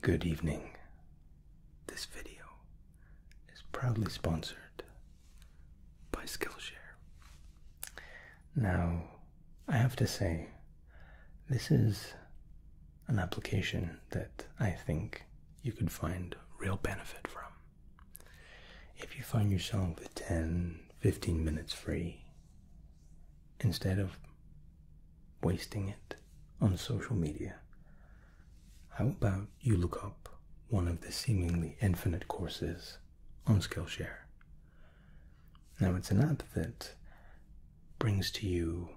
Good evening. This video is proudly sponsored by Skillshare. Now, I have to say, this is an application that I think you could find real benefit from. If you find yourself with 10, 15 minutes free, instead of wasting it on social media. How about you look up one of the seemingly infinite courses on Skillshare? Now, it's an app that brings to you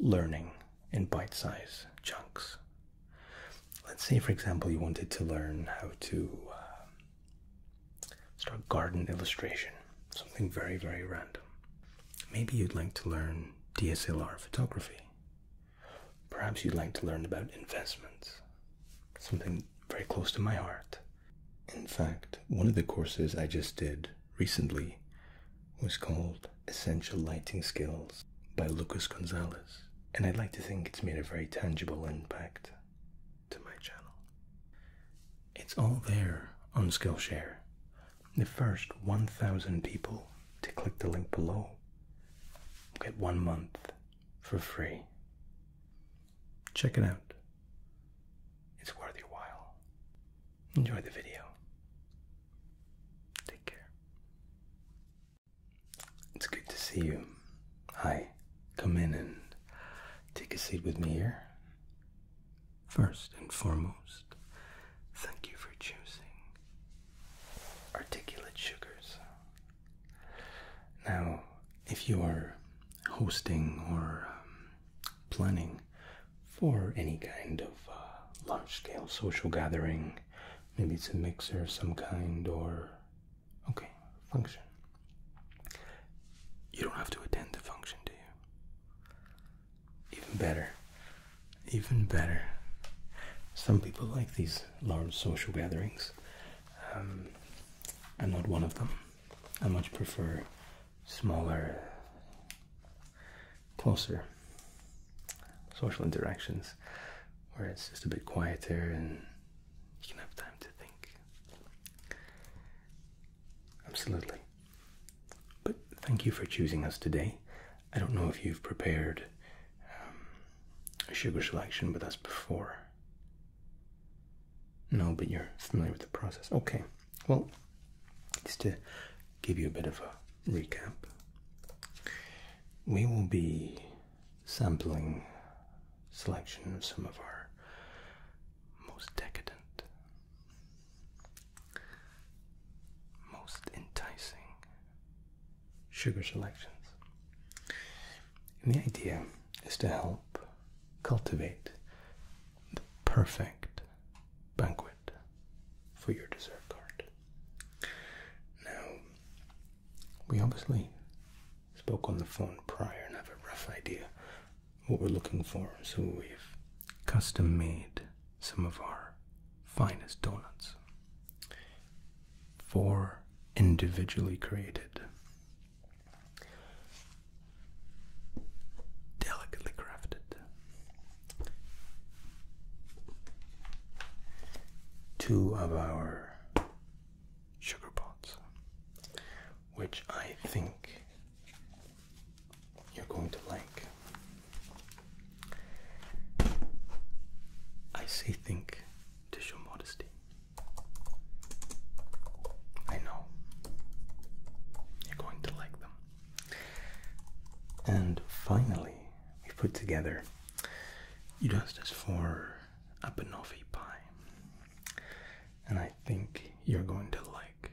learning in bite size chunks. Let's say, for example, you wanted to learn how to um, start garden illustration, something very, very random. Maybe you'd like to learn DSLR photography. Perhaps you'd like to learn about investments, something very close to my heart. In fact, one of the courses I just did recently was called Essential Lighting Skills by Lucas Gonzalez, and I'd like to think it's made a very tangible impact to my channel. It's all there on Skillshare the first 1,000 people to click the link below get one month for free. Check it out. It's worth your while. Enjoy the video. Take care. It's good to see you. Hi. Come in and take a seat with me here. First and foremost, thank you for choosing articulate sugars. Now, if you are hosting or um, planning for any kind of uh, large scale social gathering, maybe it's a mixer of some kind or okay, function. You don't have to attend the function, do you? Even better. Even better. Some people like these large social gatherings. Um, I'm not one of them. I much prefer smaller, closer social interactions where it's just a bit quieter and you can have time to think. Absolutely. But thank you for choosing us today. I don't know if you've prepared um, a sugar selection with us before. No, but you're familiar with the process. Okay, well, just to give you a bit of a recap, we will be sampling selection of some of our most decadent most enticing sugar selections. And the idea is to help cultivate the perfect banquet for your dessert card. Now, we obviously spoke on the phone prior and have a rough idea what we're looking for, so we've custom made some of our finest donuts. Four individually created, delicately crafted. Two of our sugar pots, which I think you're going to like. I say think to show modesty. I know you're going to like them. And finally, we put together you asked for a banoffee pie. And I think you're going to like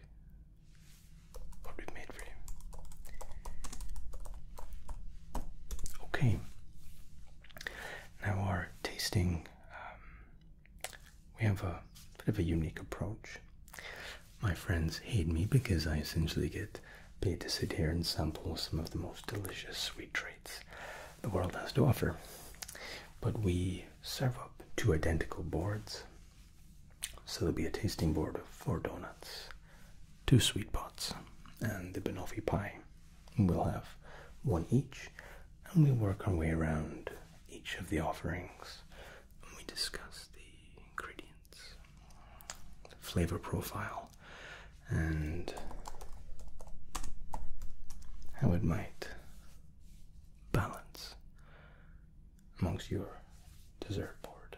what we made for you. Okay. Now our tasting, um, we have a bit of a unique approach. My friends hate me because I essentially get paid to sit here and sample some of the most delicious sweet treats the world has to offer. But we serve up two identical boards so there'll be a tasting board of four donuts, two sweet pots, and the banoffee pie. We'll have one each, and we will work our way around each of the offerings. we discuss the ingredients, flavor profile, and how it might balance amongst your dessert board.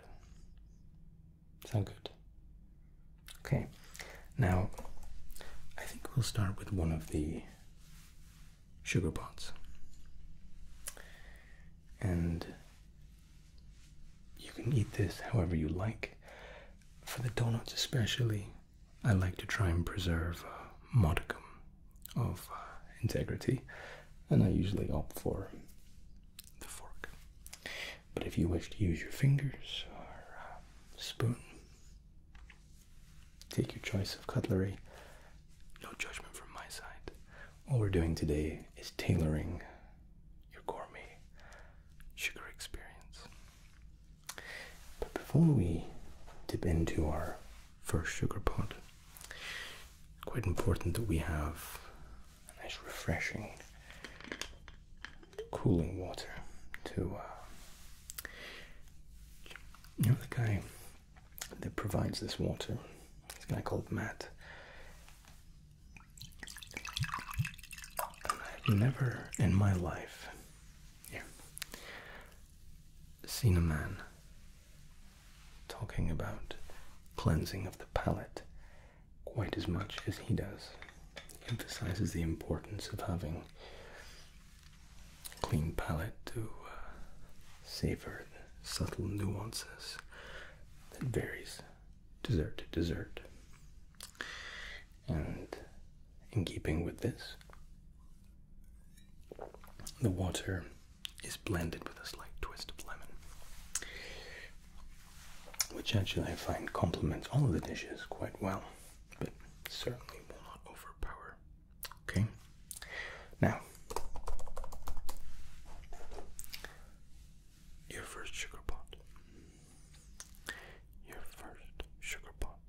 Sound good? Okay. Now, I think we'll start with one of the sugar pots. And you can eat this however you like. For the donuts, especially, I like to try and preserve a uh, modicum of uh, integrity, and I usually opt for the fork. But if you wish to use your fingers or uh, spoon, take your choice of cutlery. No judgment from my side. All we're doing today is tailoring your gourmet sugar experience. But before we dip into our first sugar pot, quite important that we have a nice refreshing cooling water to uh, you know the guy that provides this water this guy called matt i've never in my life seen a man talking about cleansing of the palate quite as much as he does. He emphasizes the importance of having a clean palate to uh, savor subtle nuances that varies dessert to dessert. And in keeping with this, the water is blended with a slight twist of lemon which actually I find complements all of the dishes quite well, but certainly will not overpower. Okay, now your first sugar pot, your first sugar pot.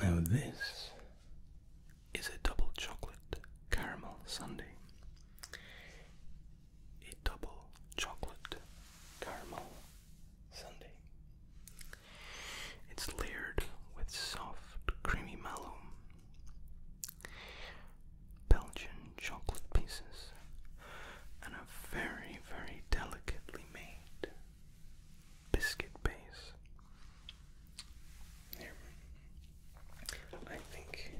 Now, this is a double chocolate caramel sundae a double chocolate caramel sundae. It's layered with soft, creamy mallow, Belgian chocolate pieces, and a very, very delicately made biscuit base. Here. I think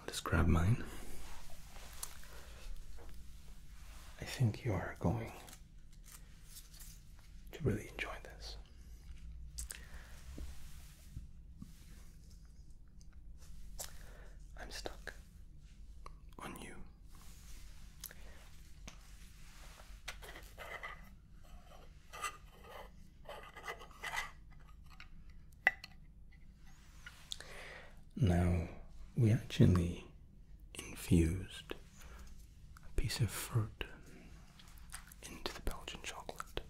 I'll just grab mine. I think you are going to really enjoy this. I'm stuck on you. Now, we actually infused a piece of fruit into the Belgian chocolate.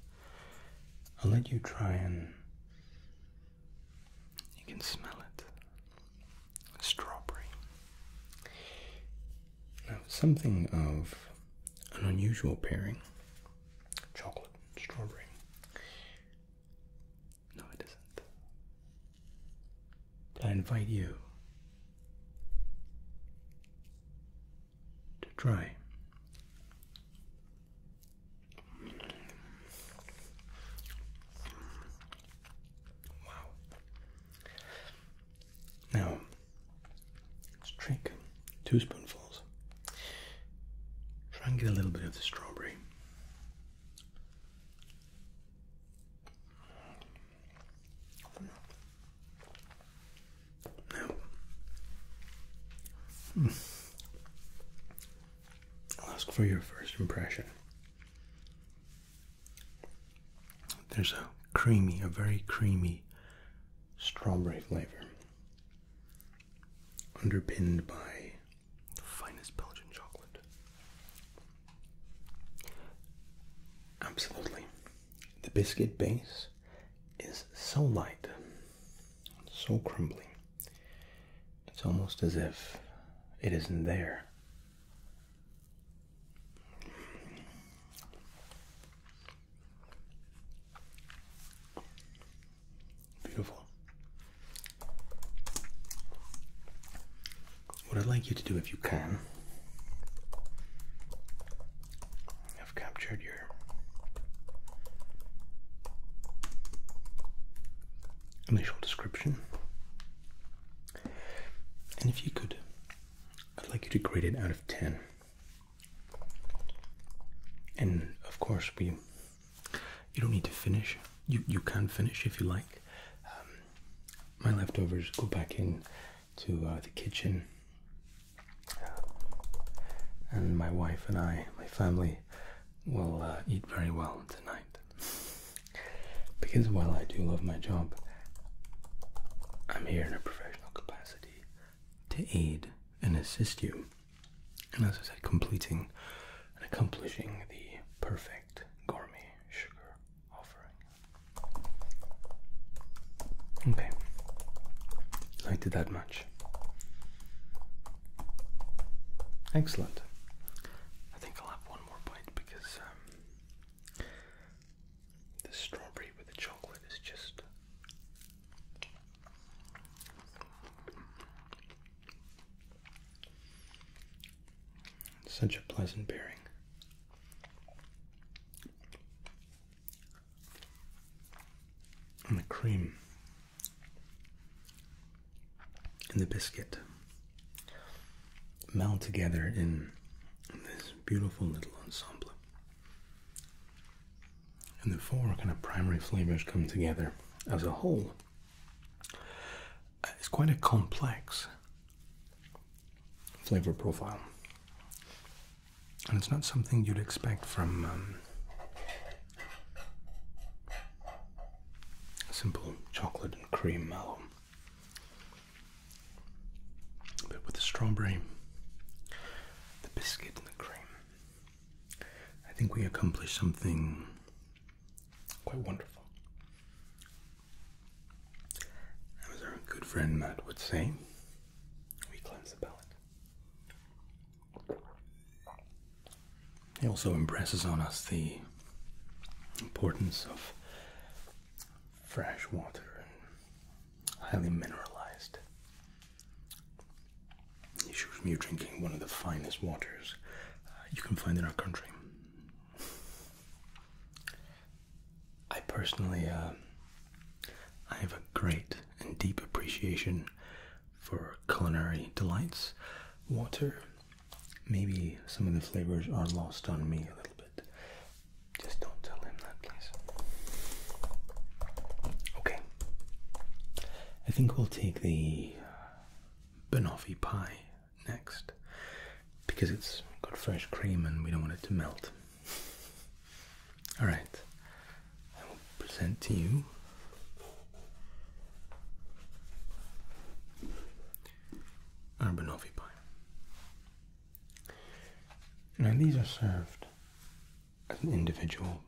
I'll let you try and you can smell it. strawberry. Now, something of an unusual pairing chocolate and strawberry. No, it isn't. I invite you to try. Wow. Now, Let's drink two spoonfuls. Try and get a little bit of the strawberry. No. Hmm. I'll ask for your first impression. There's a creamy, a very creamy strawberry flavor underpinned by the finest Belgian chocolate. Absolutely. The biscuit base is so light, so crumbly, it's almost as if it isn't there. Beautiful. What I'd like you to do, if you can, I've captured your initial description, and if you could, I'd like you to grade it out of 10. And of course, we you don't need to finish. You you can finish if you like. Um, my leftovers go back in to uh, the kitchen, uh, and my wife and I, my family, will uh, eat very well tonight. Because while I do love my job, I'm here in a professional capacity to aid and assist you and as I said, completing and accomplishing the perfect gourmet sugar offering. Okay, liked it that much. Excellent. I think I'll have one more bite because um, the strawberry with the chocolate is just such a pleasant pairing. And the cream and the biscuit melt together in this beautiful little ensemble and the four kind of primary flavors come together as a whole. Uh, it's quite a complex flavor profile, and it's not something you'd expect from um, simple chocolate and cream mallow. But with the strawberry, the biscuit, and the cream, I think we accomplished something quite wonderful. As our good friend Matt would say, we cleanse the palate. He also impresses on us the importance of fresh water and highly mineralized Shows me drinking one of the finest waters uh, you can find in our country. I personally, uh, I have a great and deep appreciation for culinary delights. Water, maybe some of the flavors are lost on me a little bit. Just don't tell him that, please. Okay. I think we'll take the banoffee pie next because it's got fresh cream and we don't want it to melt. All right, I will present to you our banoffee pie. Now, these are served as an individual.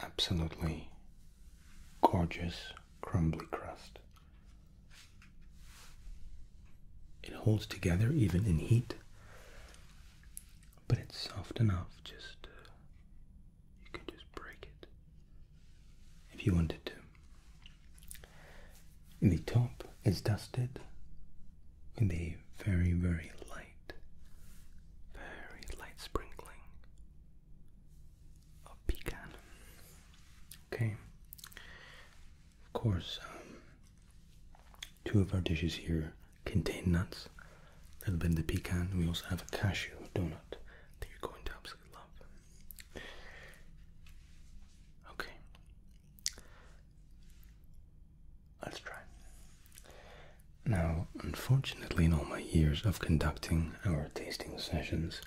Absolutely gorgeous crumbly crust. It holds together even in heat, but it's soft enough just uh, you can just break it if you wanted to. The top is dusted with a very, very light very light sprinkling of pecan. Okay. Of course, um, two of our dishes here contain nuts. A little bit of the pecan. We also have a cashew donut that you're going to absolutely love. Okay. Let's try. Now, unfortunately, in all my years of conducting our tasting sessions,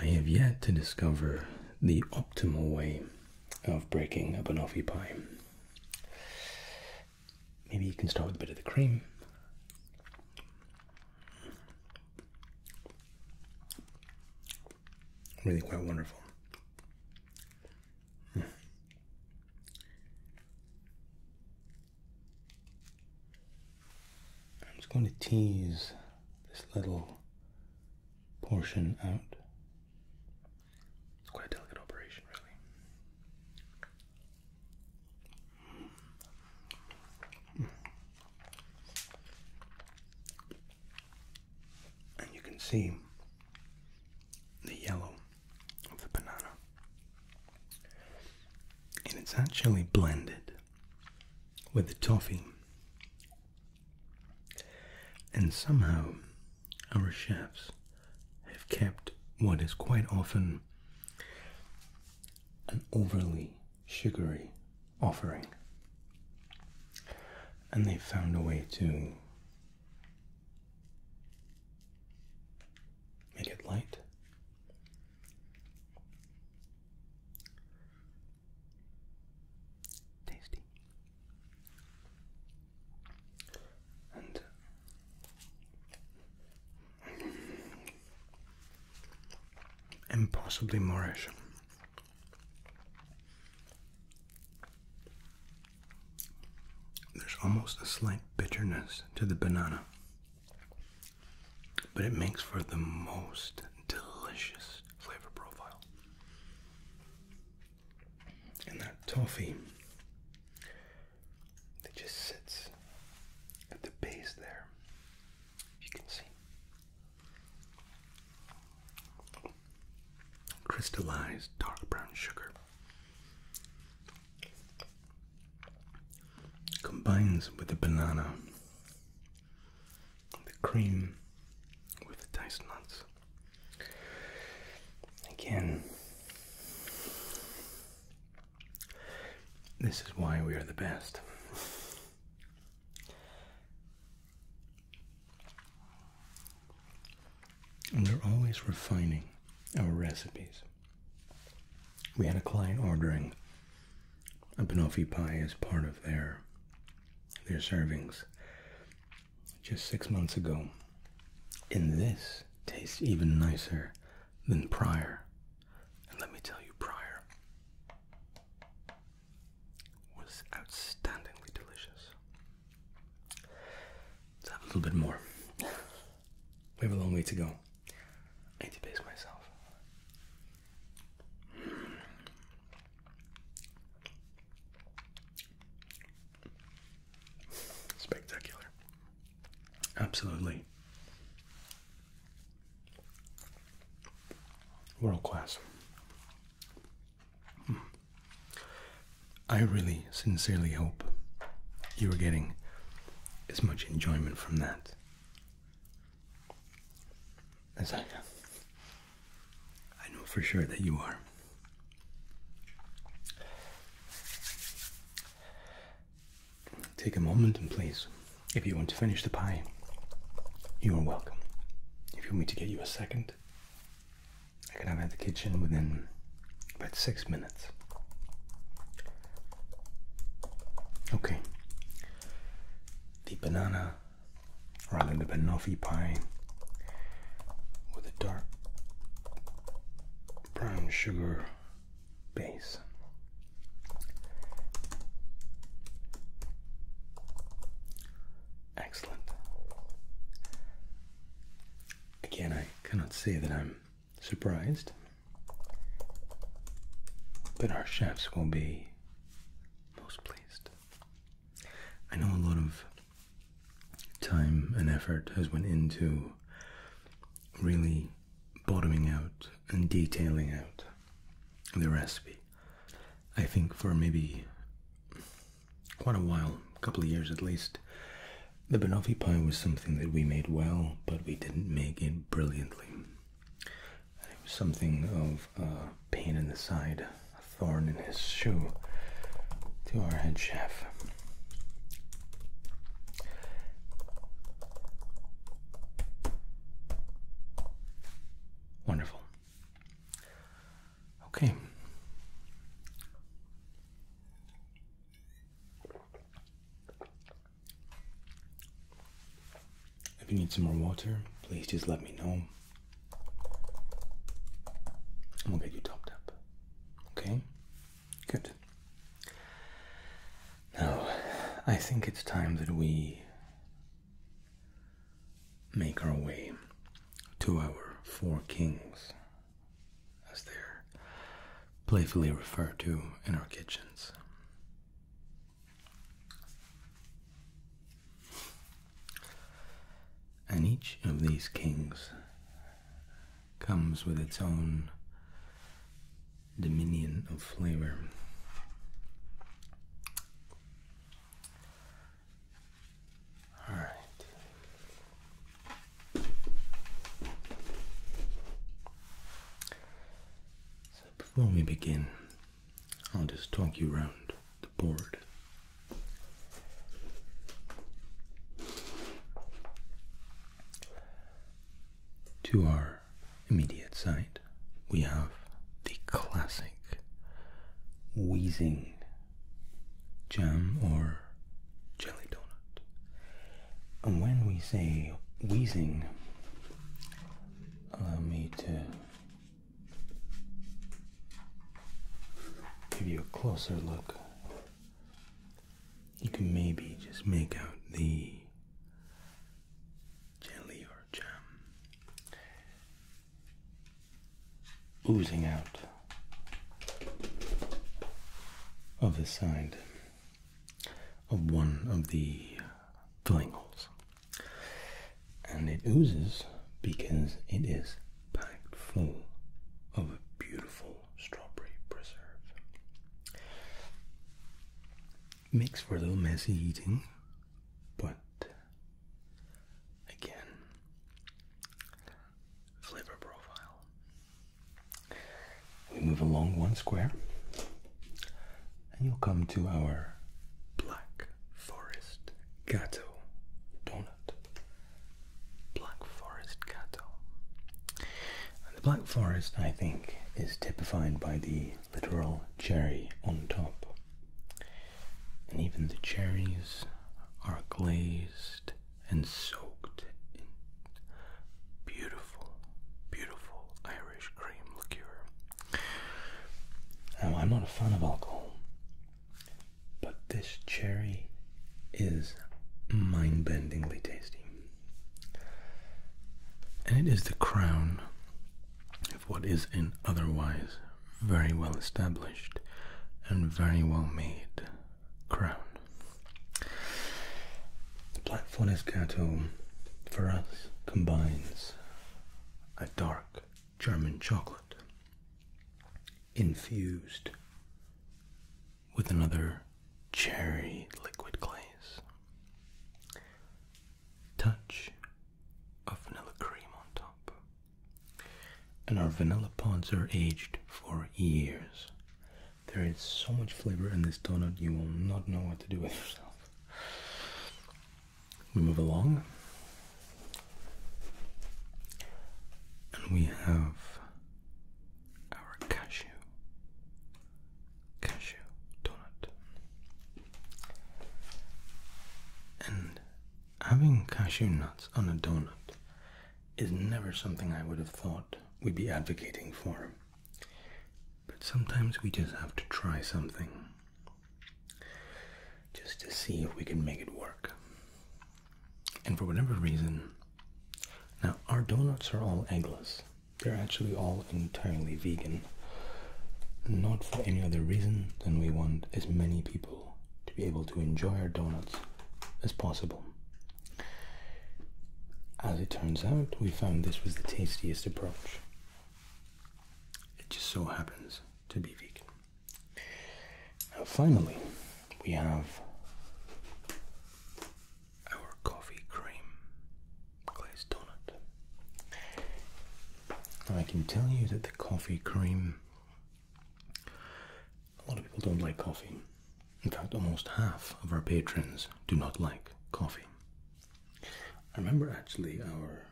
I have yet to discover the optimal way of breaking a banoffee pie. Maybe you can start with a bit of the cream. Really quite wonderful. I'm just going to tease this little portion out. It's quite a delicate operation, really. And you can see the yellow of the banana. And it's actually blended with the toffee. And somehow our chefs have kept what is quite often an overly sugary offering. And they've found a way to Make it light. Tasty. And impossibly uh, Moorish. There's almost a slight bitterness to the banana, but it makes for the most delicious flavor profile. And that toffee that just sits at the base there, if you can see. Crystallized dark brown sugar combines with the banana, the cream with the diced nuts. Again, this is why we are the best. And we're always refining our recipes we had a client ordering a panofi pie as part of their their servings just six months ago. And this tastes even nicer than prior. And let me tell you, prior was outstandingly delicious. let a little bit more. We have a long way to go. I need to pace myself. Spectacular. Absolutely. World class. Hmm. I really sincerely hope you are getting as much enjoyment from that as I can. I know for sure that you are. Take a moment and please, if you want to finish the pie, you are welcome. If you want me to get you a second, I can have it at the kitchen within about six minutes. Okay, the banana, rather the banoffee pie, with a dark brown sugar base. Excellent. Again, I cannot say that I'm surprised, but our chefs will be most pleased. I know a lot of time and effort has went into really bottoming out and detailing out the recipe. I think for maybe quite a while, a couple of years at least, the banoffee pie was something that we made well, but we didn't make it brilliantly. it was something of a pain in the side, a thorn in his shoe to our head chef. Wonderful. Okay. If you need some more water, please just let me know. i will get you topped up. Okay? Good. Now, I think it's time that we make our way to our Four Kings as they're playfully referred to in our kitchens. And each of these kings comes with its own dominion of flavor. All right. So before we begin, I'll just talk you round the board. To our immediate side, we have the classic wheezing jam or jelly donut when we say wheezing, allow me to give you a closer look. You can maybe just make out the jelly or jam oozing out of the side of one of the filling holes. And it oozes because it is packed full of a beautiful strawberry preserve. Makes for a little messy eating, but again, flavor profile we move along one square, and you'll come to our Black Forest Gato donut. Black Forest Gato. And the Black Forest, I think, is typified by the literal cherry on top. And even the cherries are glazed and soaked in Beautiful, beautiful Irish cream liqueur. Now, I'm not a fan of alcohol, but this cherry is mind bendingly tasty. And it is the crown of what is an otherwise very well established and very well made crown. The Black Forest Cattle for us combines a dark German chocolate infused with another cherry liquid glaze. Touch of vanilla cream on top. And our vanilla pods are aged for years there is so much flavor in this donut, you will not know what to do with yourself. We move along, and we have our cashew, cashew donut. And having cashew nuts on a donut is never something I would have thought we'd be advocating for. But sometimes we just have to try something just to see if we can make it work. And for whatever reason, now our donuts are all eggless. They're actually all entirely vegan. Not for any other reason than we want as many people to be able to enjoy our donuts as possible. As it turns out, we found this was the tastiest approach. It just so happens to be vegan. finally, we have our coffee cream glazed donut. I can tell you that the coffee cream, a lot of people don't like coffee. In fact, almost half of our patrons do not like coffee. I remember actually our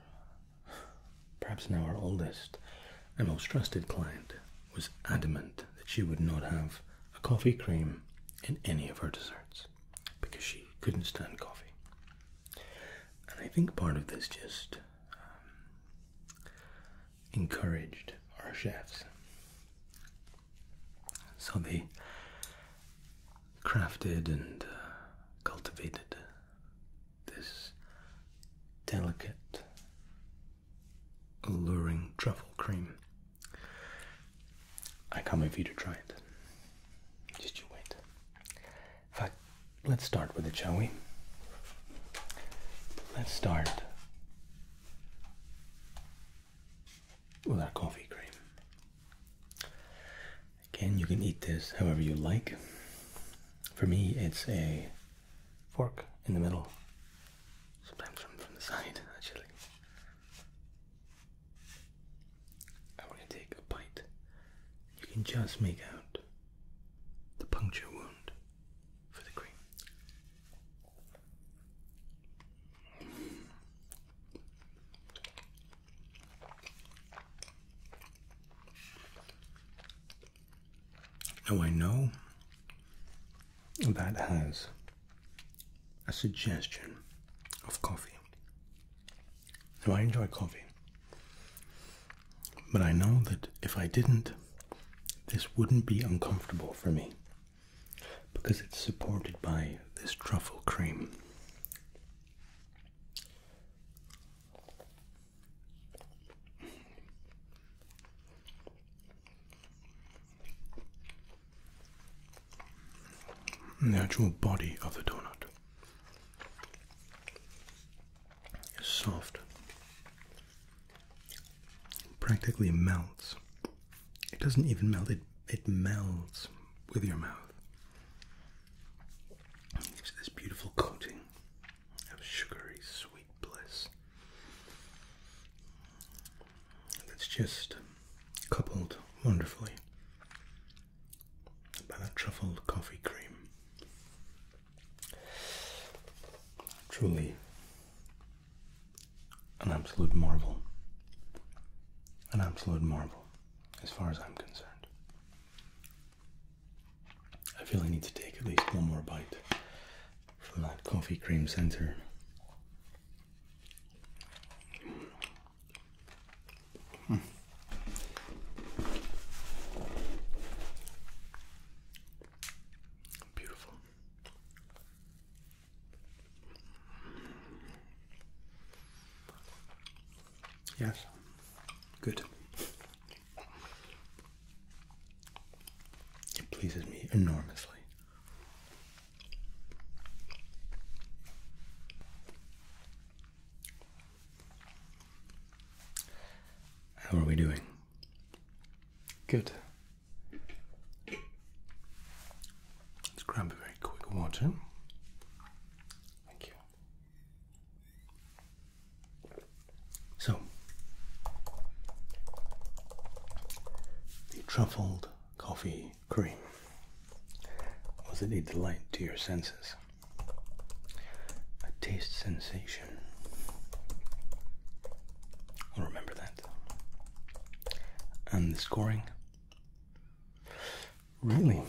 perhaps now our oldest and most trusted client was adamant that she would not have a coffee cream in any of her desserts because she couldn't stand coffee. And I think part of this just um, encouraged our chefs so they crafted and uh, cultivated this delicate, alluring truffle cream. I can't you to try it. Just you wait. In fact, let's start with it, shall we? Let's start with our coffee cream. Again, you can eat this however you like. For me, it's a fork in the middle, sometimes from, from the side, actually. I'm going to take a bite. You can just make out the puncture wound for the cream. Now I know that has a suggestion of coffee. Now I enjoy coffee, but I know that if I didn't, this wouldn't be uncomfortable for me because it's supported by this truffle cream. The actual body of the donut is soft, practically melts. It doesn't even melt, it, it melds with your mouth. It this beautiful coating of sugary sweet bliss that's just coupled wonderfully by that truffled coffee cream. Truly an absolute marvel. An absolute marvel as far as I'm concerned. I feel I need to take at least one more bite from that coffee cream center. Hmm. Beautiful. Yes. Good. It pleases me enormously. How are we doing? Good. Let's grab a very quick water. Thank you. So, the truffled coffee cream was it a delight to your senses? A taste sensation. i remember that. And the scoring? Really?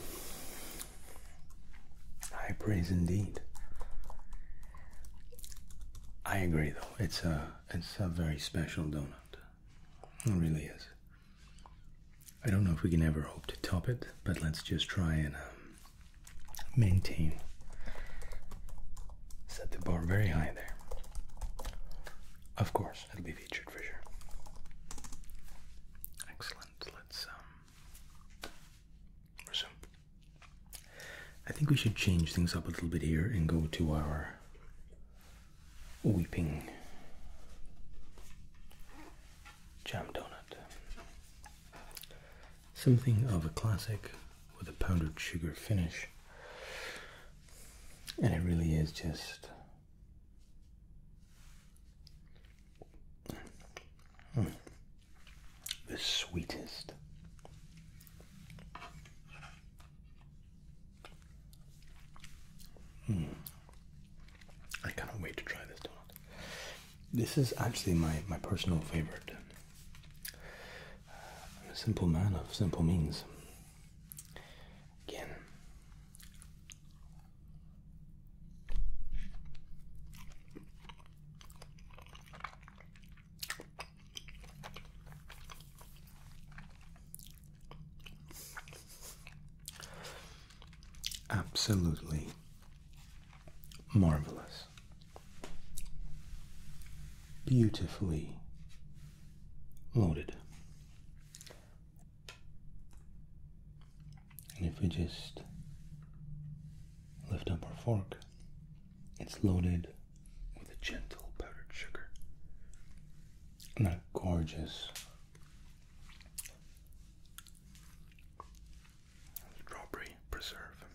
High praise indeed. I agree though. It's a it's a very special donut. It really is. I don't know if we can ever hope to top it, but let's just try and um, maintain. Set the bar very high there. Of course, it'll be featured for sure. Excellent. Let's um, resume. I think we should change things up a little bit here and go to our weeping jam donut. Something of a classic with a powdered sugar finish. And it really is just Mm. The sweetest. Mm. I cannot wait to try this donut. This is actually my, my personal favorite. i uh, a simple man of simple means. Again, Absolutely marvelous, beautifully loaded, and if we just lift up our fork, it's loaded with a gentle powdered sugar and that gorgeous strawberry preserve.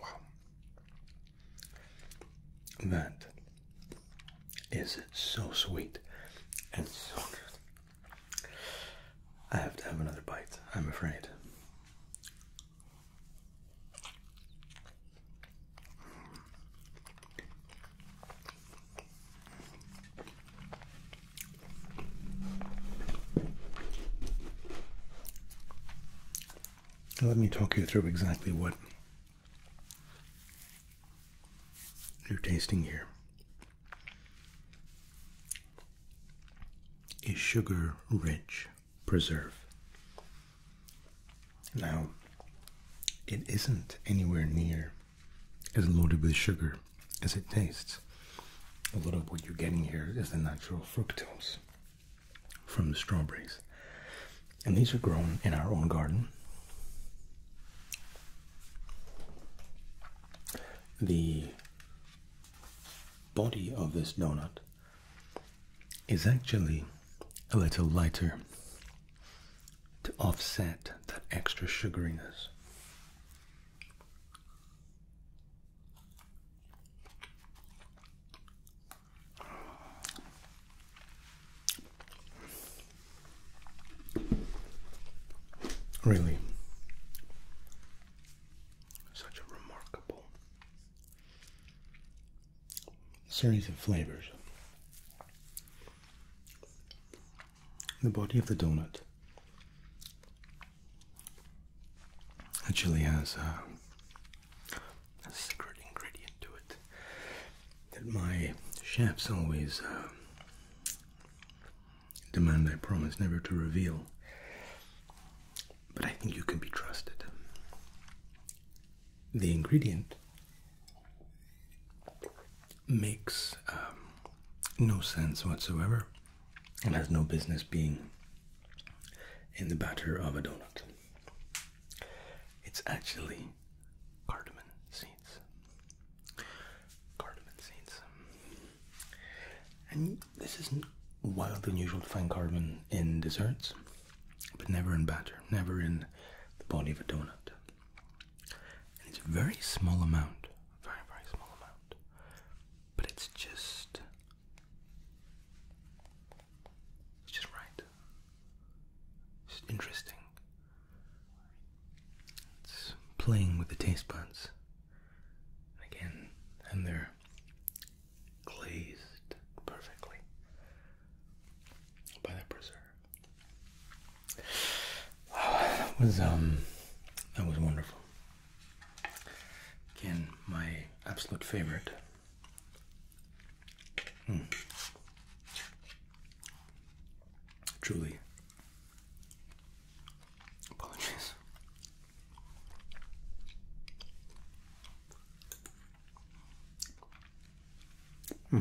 Wow. That is so sweet and so good. I have to have another bite, I'm afraid. Let me talk you through exactly what your tasting here a sugar rich preserve. Now, it isn't anywhere near as loaded with sugar as it tastes. A lot of what you're getting here is the natural fructose from the strawberries. And these are grown in our own garden. The body of this donut is actually a little lighter to offset that extra sugariness. Really, such a remarkable series of flavors. The body of the donut actually has uh, a, secret ingredient to it that my chefs always uh, Demand I promise never to reveal. But I think you can be trusted. The ingredient makes um, no sense whatsoever and has no business being in the batter of a donut. It's actually cardamom seed seeds. Cardamom seeds. And this isn't and unusual to find cardamom in desserts, but never in batter, never in the body of a donut. And it's a very small amount, very, very small amount, but it's just. It's just right. It's interesting. It's playing with the taste buds. Again, and they're glazed perfectly by the preserve. Oh, that was um that was wonderful. Again, my absolute favorite. Hmm. Truly Apologies. Hmm.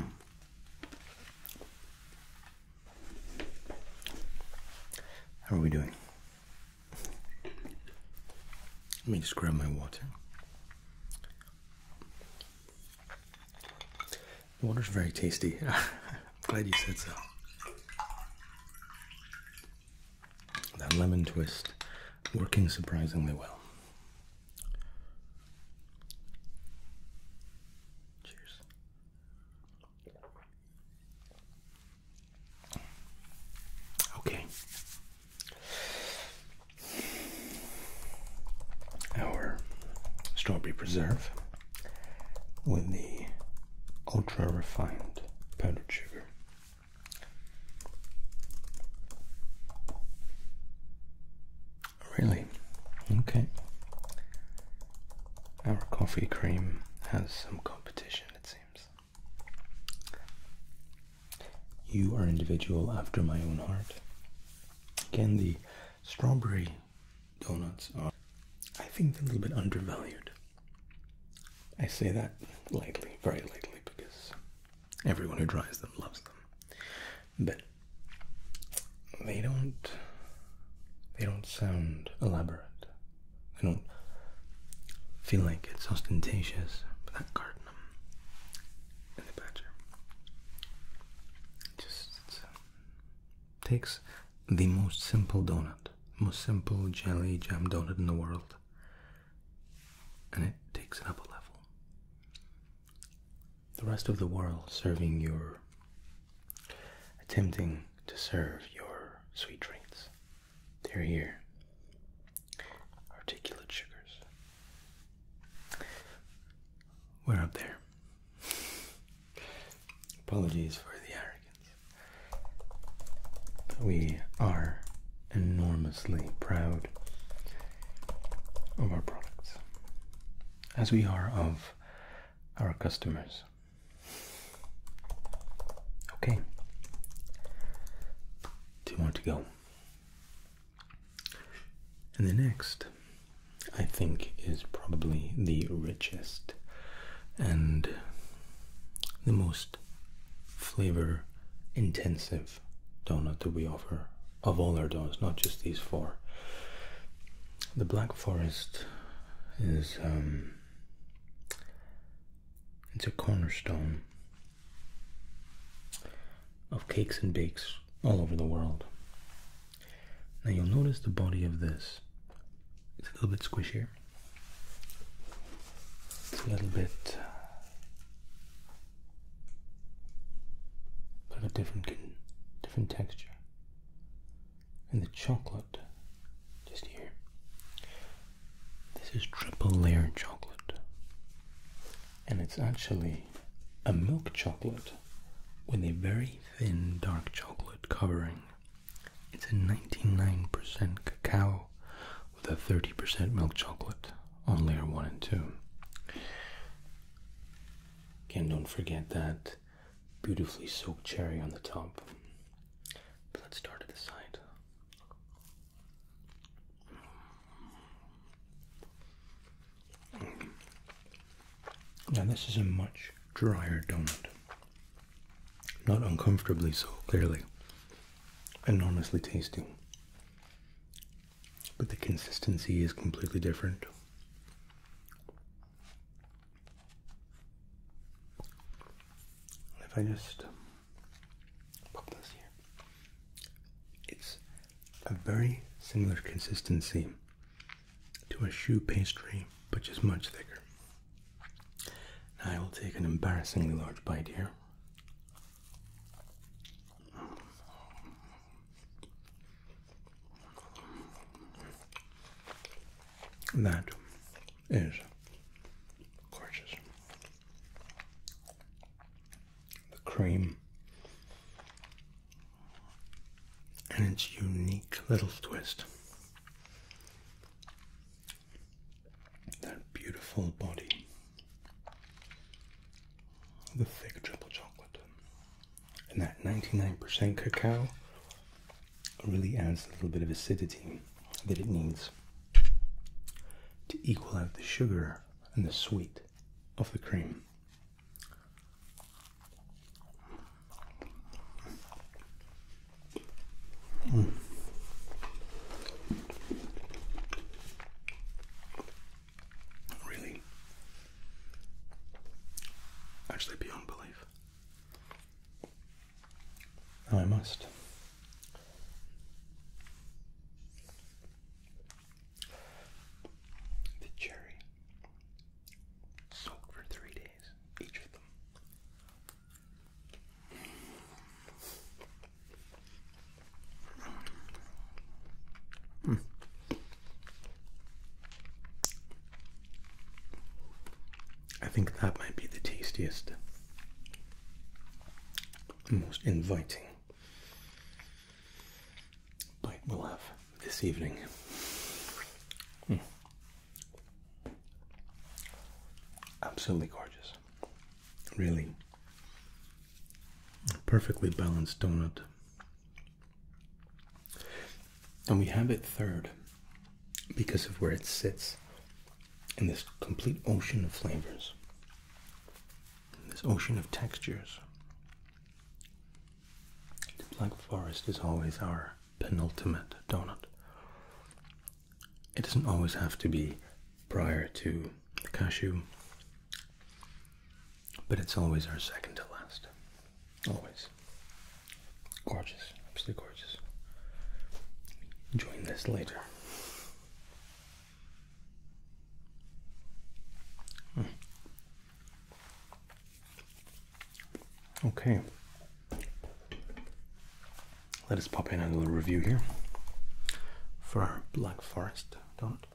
How are we doing? Let me just grab my water. The water's very tasty. I'm glad you said so. That lemon twist working surprisingly well. Cheers. Okay. Our strawberry preserve with the ultra refined powdered sugar. Really? Okay. Our coffee cream has some competition, it seems. You are an individual after my own heart. Again, the strawberry donuts are, I think, a little bit undervalued. I say that lightly, very lightly, because everyone who tries them loves them. But they don't they don't sound elaborate. They don't feel like it's ostentatious, but that cardamom um, and the badger. Just takes the most simple donut, most simple jelly jam donut in the world, and it takes it up a level. The rest of the world serving your, attempting to serve your sweet treats. They're here. Articulate sugars. Where are they? Apologies for the arrogance. We are enormously proud of our products, as we are of our customers. Okay, two more to go. And the next I think is probably the richest and the most flavor intensive donut that we offer of all our donuts, not just these four. The Black Forest is um, it's a cornerstone of cakes and bakes all over the world. Now you'll notice the body of this it's a little bit squishier. It's a little bit uh, of a different different texture. And the chocolate just here. This is triple layered chocolate. And it's actually a milk chocolate with a very thin dark chocolate covering. It's a 99% cacao with a 30% milk chocolate on layer 1 and 2. Again, don't forget that beautifully soaked cherry on the top. let's start at the side. Now this is a much drier donut. Not uncomfortably so, clearly. enormously honestly tasty. But the consistency is completely different. If I just pop this here, it's a very similar consistency to a shoe pastry, which is much thicker. I will take an embarrassingly large bite here. That is gorgeous. The cream and its unique little twist that beautiful body. The thick triple chocolate. And that 99% cacao really adds a little bit of acidity that it needs to equal out the sugar and the sweet of the cream. Mm. Really? Actually, beyond belief. I must. The cherry soaked for three days. Hmm. I think that might be the tastiest, most inviting bite we'll have this evening. Hmm. Absolutely gorgeous. Really perfectly balanced donut. And we have it third because of where it sits in this complete ocean of flavors, this ocean of textures. The Black Forest is always our penultimate donut. It doesn't always have to be prior to the cashew, but it's always our second to last. Always. Gorgeous, absolutely gorgeous. Join this later. Hmm. Okay. Let us pop in a little review here for our Black Forest Don't.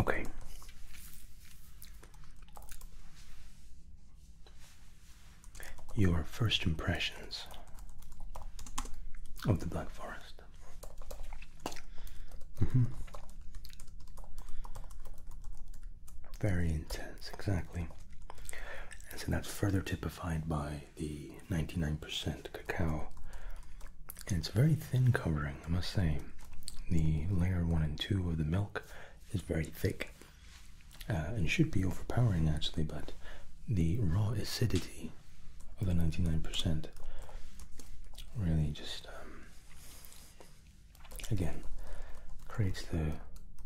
Okay your first impressions of the Black Forest. Mm-hmm. Very intense, exactly. And so that's further typified by the 99% cacao. And it's a very thin covering, I must say. The layer 1 and 2 of the milk is very thick uh, and should be overpowering actually, but the raw acidity of the 99%. Really just, um, again, creates the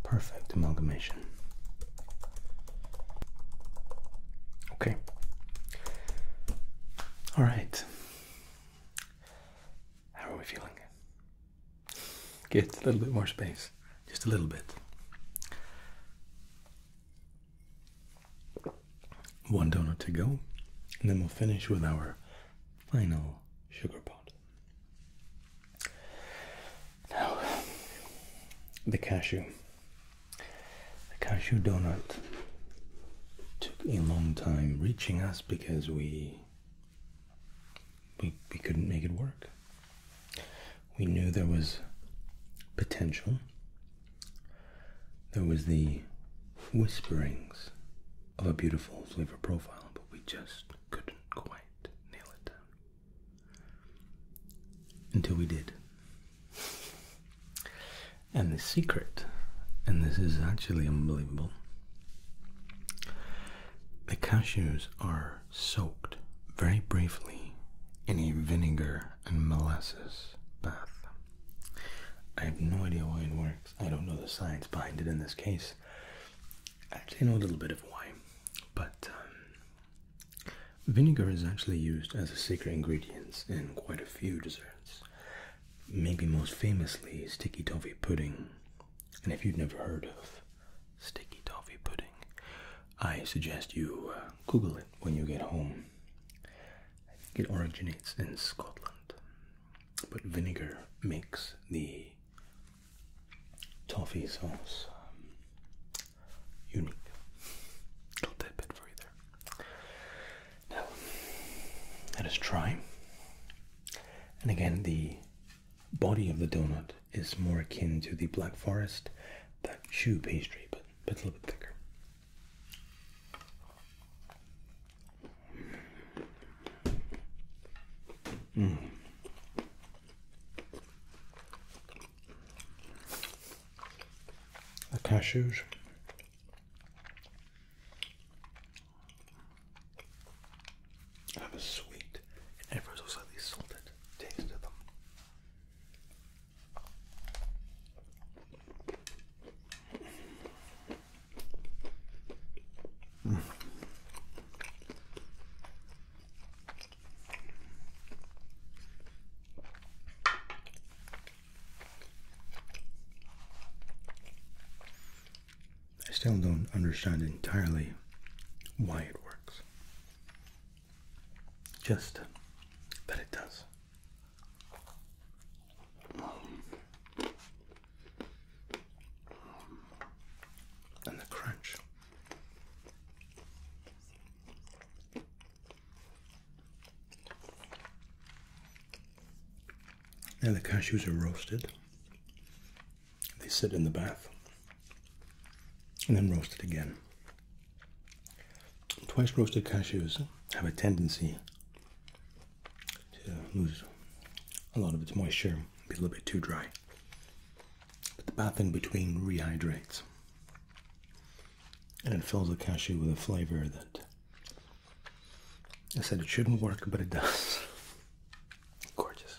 perfect amalgamation. Okay. All right. How are we feeling? Get a little bit more space, just a little bit. One donut to go, and then we'll finish with our final sugar pot. Now, the cashew. The cashew donut took a long time reaching us because we we, we couldn't make it work. We knew there was potential. There was the whisperings of a beautiful flavor profile, but we just couldn't quite nail it down. Until we did. And the secret, and this is actually unbelievable, the cashews are soaked very briefly in a vinegar and molasses bath. I have no idea why it works. I don't know the science behind it in this case. Actually, know a little bit of why, but um, vinegar is actually used as a secret ingredient in quite a few desserts. Maybe most famously, sticky toffee pudding. And if you've never heard of sticky toffee pudding, I suggest you uh, Google it when you get home. it originates in Scotland, but vinegar makes the toffee sauce um, unique. Got that bit for you Now, let us try. And again, the body of the donut is more akin to the Black Forest, that chew pastry, but it's a little bit thicker. Mm. The cashews. Have a sweet and ever so slightly salted taste to them. I still don't understand entirely why it works. Just that it does. And the crunch. Now the cashews are roasted. They sit in the bath and then roast it again. Twice roasted cashews have a tendency to lose a lot of its moisture, be a little bit too dry. But the bath in between rehydrates and it fills the cashew with a flavor that I said it shouldn't work, but it does. Gorgeous.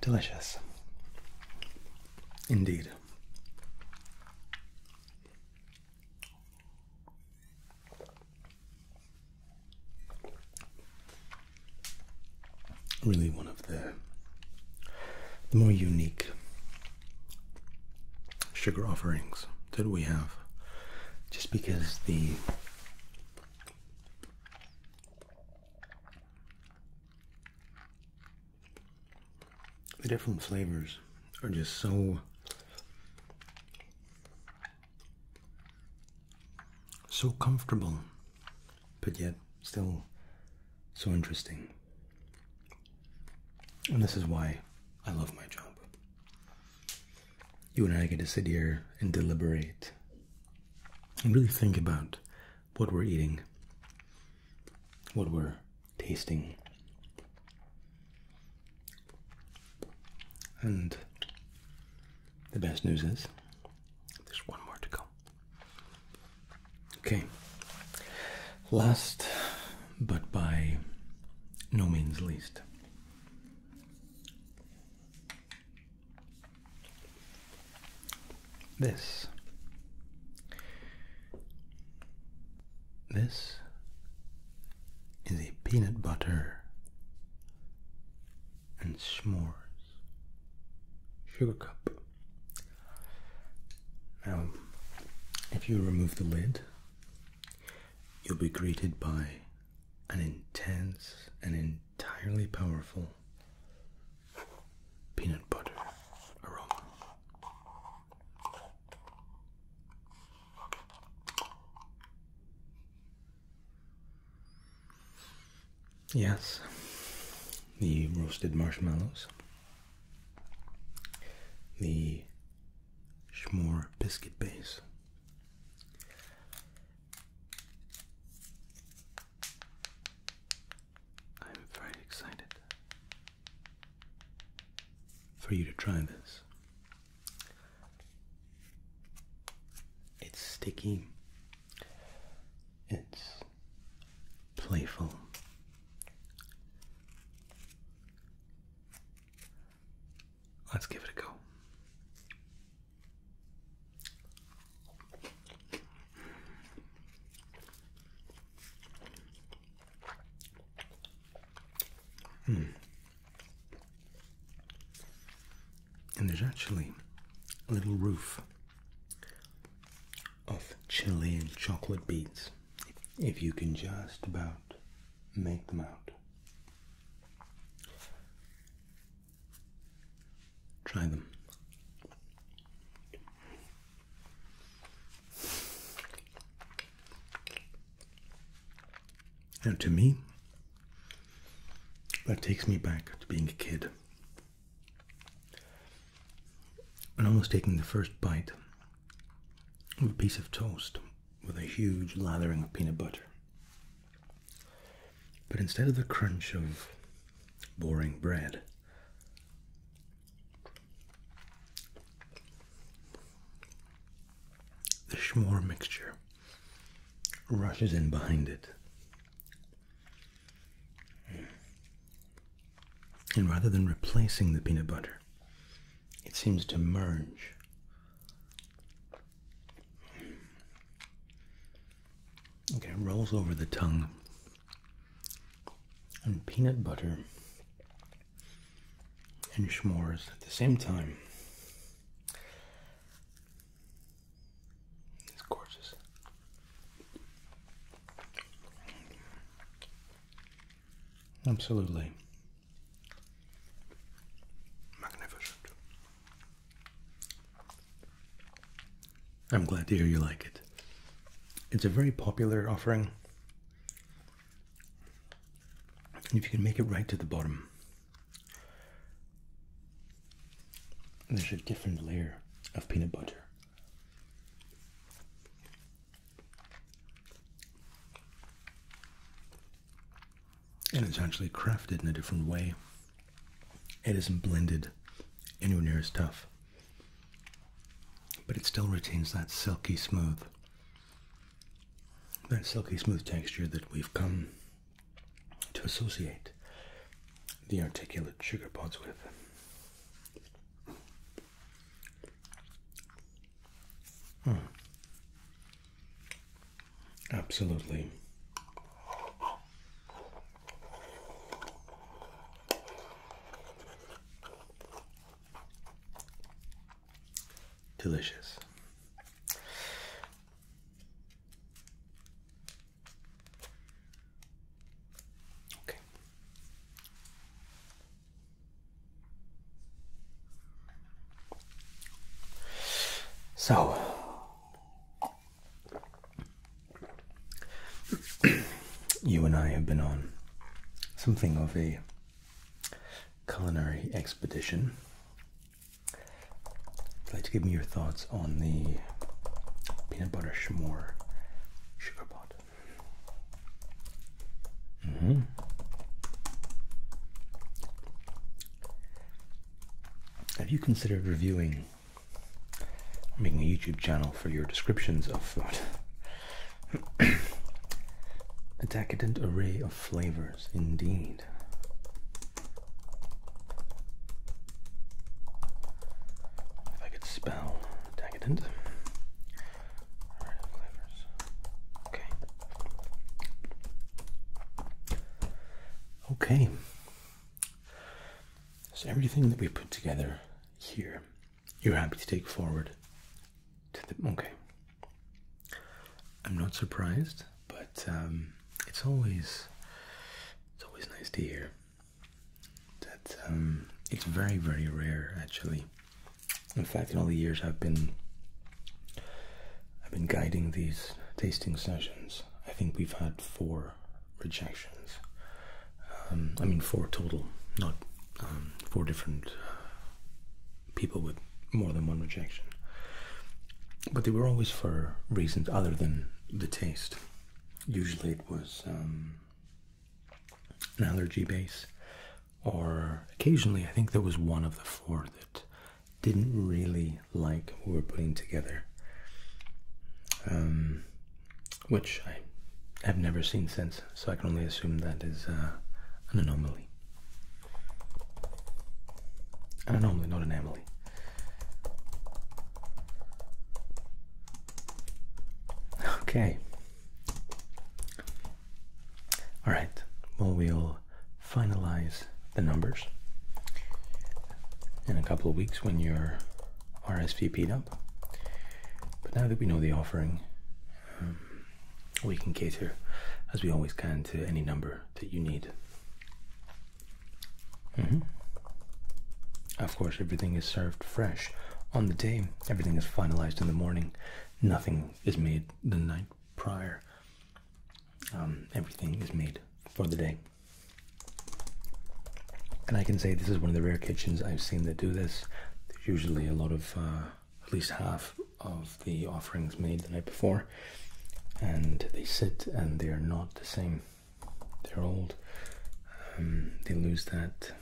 Delicious. Indeed. Really one of the, more unique sugar offerings that we have just because the the different flavors are just so so comfortable but yet still so interesting and this is why I love my job you and I get to sit here and deliberate and really think about what we're eating, what we're tasting, and the best news is there's one more to go. Okay, last but by no means least. This. This is a peanut butter and s'mores sugar cup. Now, if you remove the lid, you'll be greeted by an intense and entirely powerful peanut butter aroma. Yes, the roasted marshmallows, the Schmore biscuit base, I'm very excited for you to try this. It's sticky, it's playful. Let's give it a go. Mm. And there's actually a little roof of chili and chocolate beads if you can just about make them out. Try them. And to me, that takes me back to being a kid. And almost taking the first bite of a piece of toast with a huge lathering of peanut butter. But instead of the crunch of boring bread, the schmore mixture rushes in behind it. And rather than replacing the peanut butter, it seems to merge Okay, rolls over the tongue. And peanut butter and schmores at the same time. It's gorgeous. Absolutely. Magnificent. I'm glad to hear you like it. It's a very popular offering. if you can make it right to the bottom, there's a different layer of peanut butter and it's actually crafted in a different way. It isn't blended anywhere near as tough, but it still retains that silky smooth, that silky smooth texture that we've come to associate the articulate sugar pods with. Hmm. Absolutely. Delicious. Okay. So, you and I have been on something of a culinary expedition. I'd like to give me your thoughts on the peanut butter s'more sugar pot. -hmm. Have you considered reviewing making a YouTube channel for your descriptions of food? a decadent array of flavors, indeed. If I could spell decadent. Okay. Okay. So everything that we put together here, you're happy to take forward Okay. I'm not surprised, but um, it's always it's always nice to hear that um, it's very very rare actually. In fact, in all the years I've been I've been guiding these tasting sessions. I think we've had four rejections. Um, I mean, four total, not um, four different uh, people with more than one rejection. But they were always for reasons other than the taste. Usually it was um, an allergy base, or occasionally I think there was one of the four that didn't really like what we were putting together. Um, which I have never seen since, so I can only assume that is uh, an anomaly. anomaly, not anomaly. Okay. All right. Well, we'll finalize the numbers in a couple of weeks when you're RSVP'd up. But now that we know the offering, um, we can cater, as we always can, to any number that you need. Mm-hmm. Of course, everything is served fresh on the day. Everything is finalized in the morning. Nothing is made the night prior. Um, everything is made for the day. And I can say this is one of the rare kitchens I've seen that do this. There's usually a lot of, uh, at least half of the offerings made the night before, and they sit and they are not the same. They're old. Um, they lose that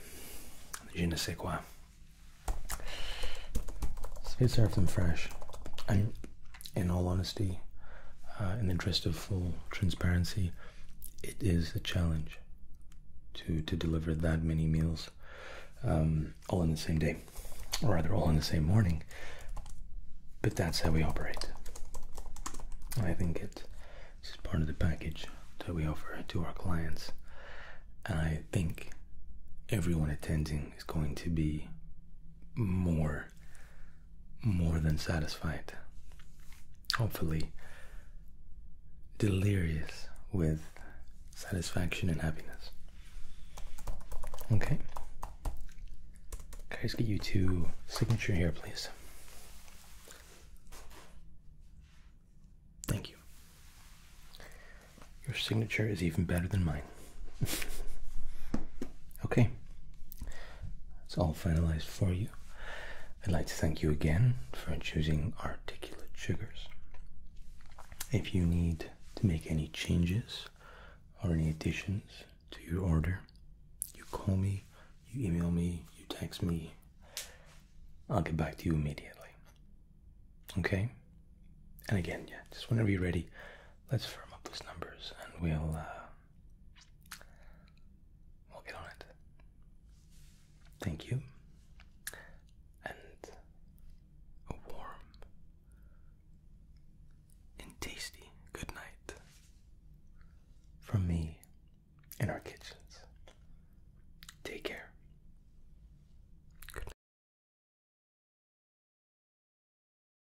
je ne sais quoi. So serve them fresh in all honesty, uh, in the interest of full transparency, it is a challenge to to deliver that many meals um, all in the same day, or rather all in the same morning. But that's how we operate. I think it is part of the package that we offer to our clients, and I think everyone attending is going to be more more than satisfied hopefully delirious with satisfaction and happiness okay guys, get you to signature here please Thank you. Your signature is even better than mine okay, it's all finalized for you. I'd like to thank you again for choosing articulate sugars. If you need to make any changes or any additions to your order, you call me, you email me, you text me. I'll get back to you immediately. Okay? And again, yeah, just whenever you're ready, let's firm up those numbers and we'll uh, We'll get on it. Thank you. And a warm and tasty good night from me in our kitchens. Take care. Good night.